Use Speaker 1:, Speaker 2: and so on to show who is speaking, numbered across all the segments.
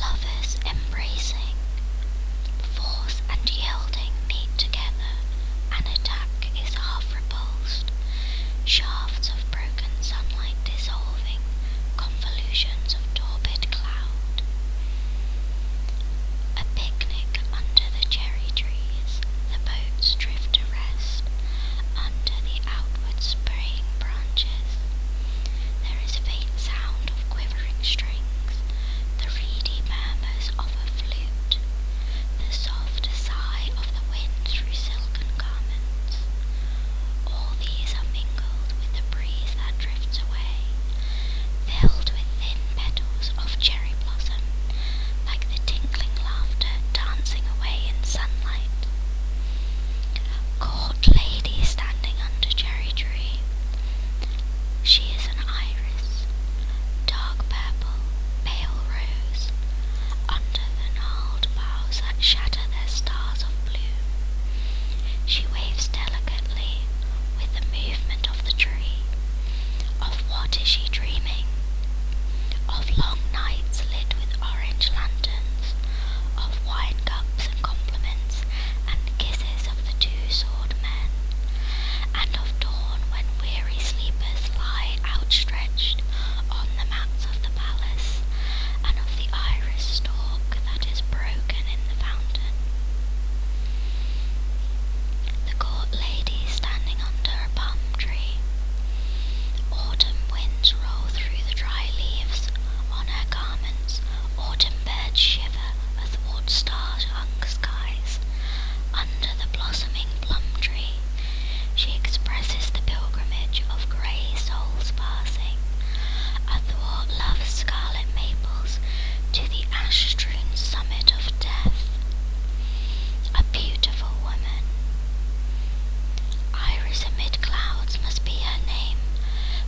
Speaker 1: Lovers embracing, force and yielding meet together, an attack is half repulsed, shafts of broken sunlight dissolving, convolutions of torpid cloud. A picnic under the cherry trees, the boats drift to rest, under the outward spraying branches. There is a faint sound of quivering strings, the reedy murmurs of a flute, the soft sigh of the wind through silken garments. All these are mingled with the breeze that drifts away, filled with thin petals of cherry blossom, like the tinkling laughter dancing away in sunlight. Court lady standing under cherry tree. She is an iris, dark purple, pale rose, under the gnarled boughs that shatter their stars of blue. She waves delicately with the movement of the tree. Of what is she dreaming? Of long nights lit with orange lanterns of wine cups and compliments, and kisses of the two-sword and of dawn when weary sleepers lie outstretched on the mats of the palace, and of the iris stalk that is broken in the fountain. The court lady standing under a palm tree Autumn winds roll through the dry leaves on her garments. Autumn birds shiver athwart star-hung skies. Under the blossoming plum tree, she expresses the pilgrimage of grey souls passing. Athwart love's scarlet maples to the ash-strewn summit of death. A beautiful woman Iris amid clouds must be her name,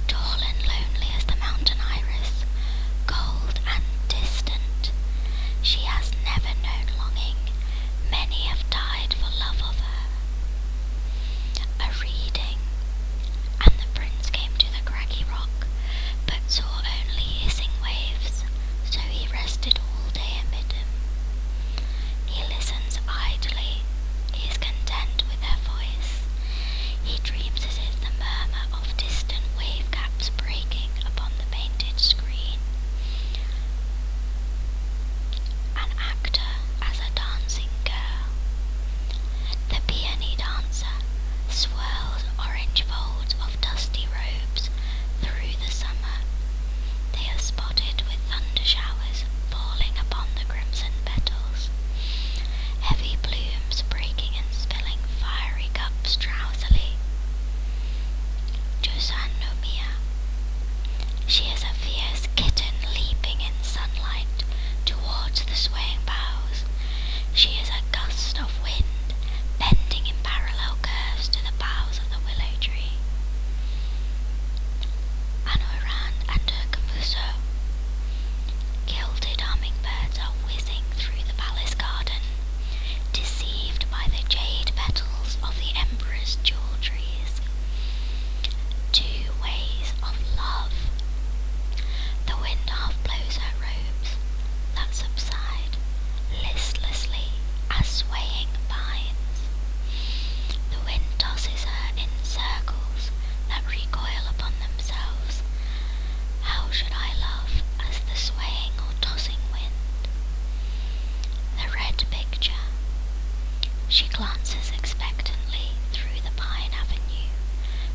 Speaker 1: tall and lonely as the mountain iris, cold and distant. She has never known longing. Many have died for love of her. A reading, and the prince came to the craggy rock, but saw only hissing waves, so he rested all day amid them. He listens idly. He is content with her voice. He dreams as it is the murmur of distant wave caps breaking upon the painted screen. An actor as a dancing girl. The peony dancer swirls orange folds of dusty robes through the summer they are spotted with thunder showers falling upon the crimson petals, heavy plumes breaking and spilling fiery cups drowsily. Josanomia. She is a fierce kitten leaping in sunlight towards the swaying boughs. She is a gust of wind bending in parallel curves to the boughs of the willow tree. Missouri. Anoran and Urkamuso. Gilded hummingbirds are whizzing through the palace garden, deceived by the jade petals of the emperor's jewel trees. Two ways of love. The wind half blows her robes that subside, listlessly as swaying pines. The wind tosses her in circles that recoil upon themselves. How should I love as the swaying or tossing wind? The red picture. She glances expectantly through the pine avenue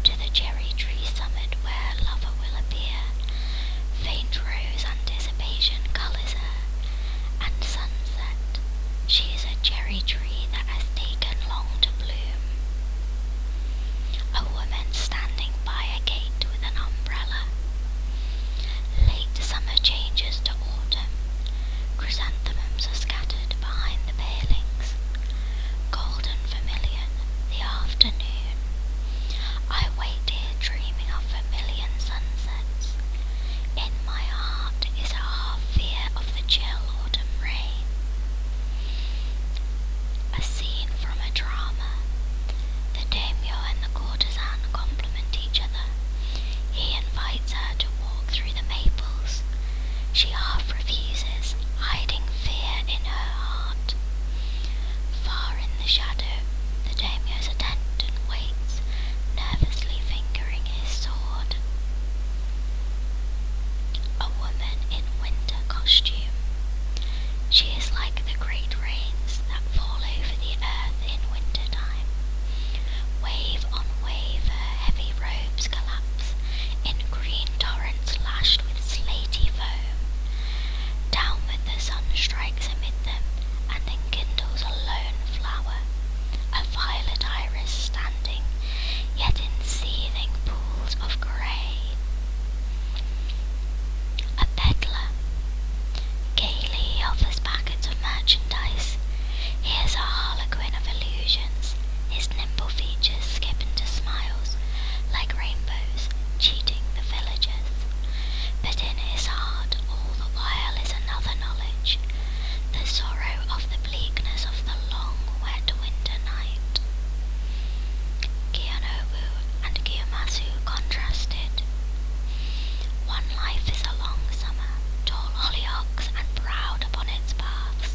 Speaker 1: to the cherry tree summit where lover will appear, faint rose and anticipation colors her, and sunset. She is a cherry tree that has taken long to bloom. A woman standing by a gate with an umbrella. Late summer changes to autumn. Chrysanthemums are scattered behind the palings. Golden vermilion, the afternoon I wait here dreaming of a million sunsets. In my heart is a half fear of the chill autumn rain. A scene from a drama. The daimyo and the courtesan compliment each other. He invites her to walk through the maples. She half refuses, hiding fear in her heart. Far in the shadows, the daimyo's attendant waits, nervously fingering his sword. A woman in winter costume. She is like the great rains that fall over the earth in winter time. Wave on wave her heavy robes collapse in green torrents lashed with slaty foam. Down when the sun strikes amid them, and enkindles a lone flower, a violet iris standing, yet in seething pools of grey. A peddler gaily offers packets of merchandise. Here's a harlequin of illusions, his nimble features skip into smiles like rainbows, cheating the villagers. But in his heart all the while is another knowledge, the sorrow of the bleakness of the long wet winter night. Kiyonobu and Kiyomasu contrasted. One life is a long summer, tall hollyhocks and proud upon its paths,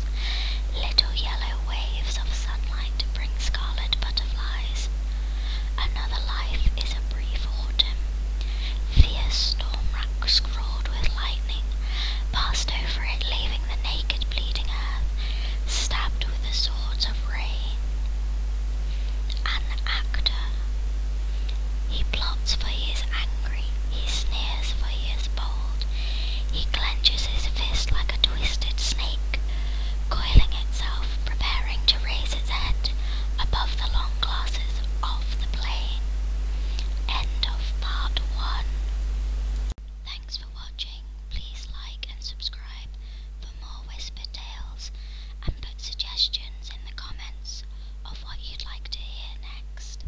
Speaker 1: little yellow waves of sunlight bring scarlet butterflies, Another life is a brief autumn. Fierce storm racks with lightning, passed over it, leaving the naked, bleeding earth stabbed with the swords of rain. An actor. He plots for he is angry, he sneers for he is bold, he clenches his fist like a twisted snake coiling itself, preparing to raise its head above the long glasses of the plane. End of part one. Thanks for watching. Please like and subscribe for more whisper tales and put suggestions in the comments of what you'd like to hear next.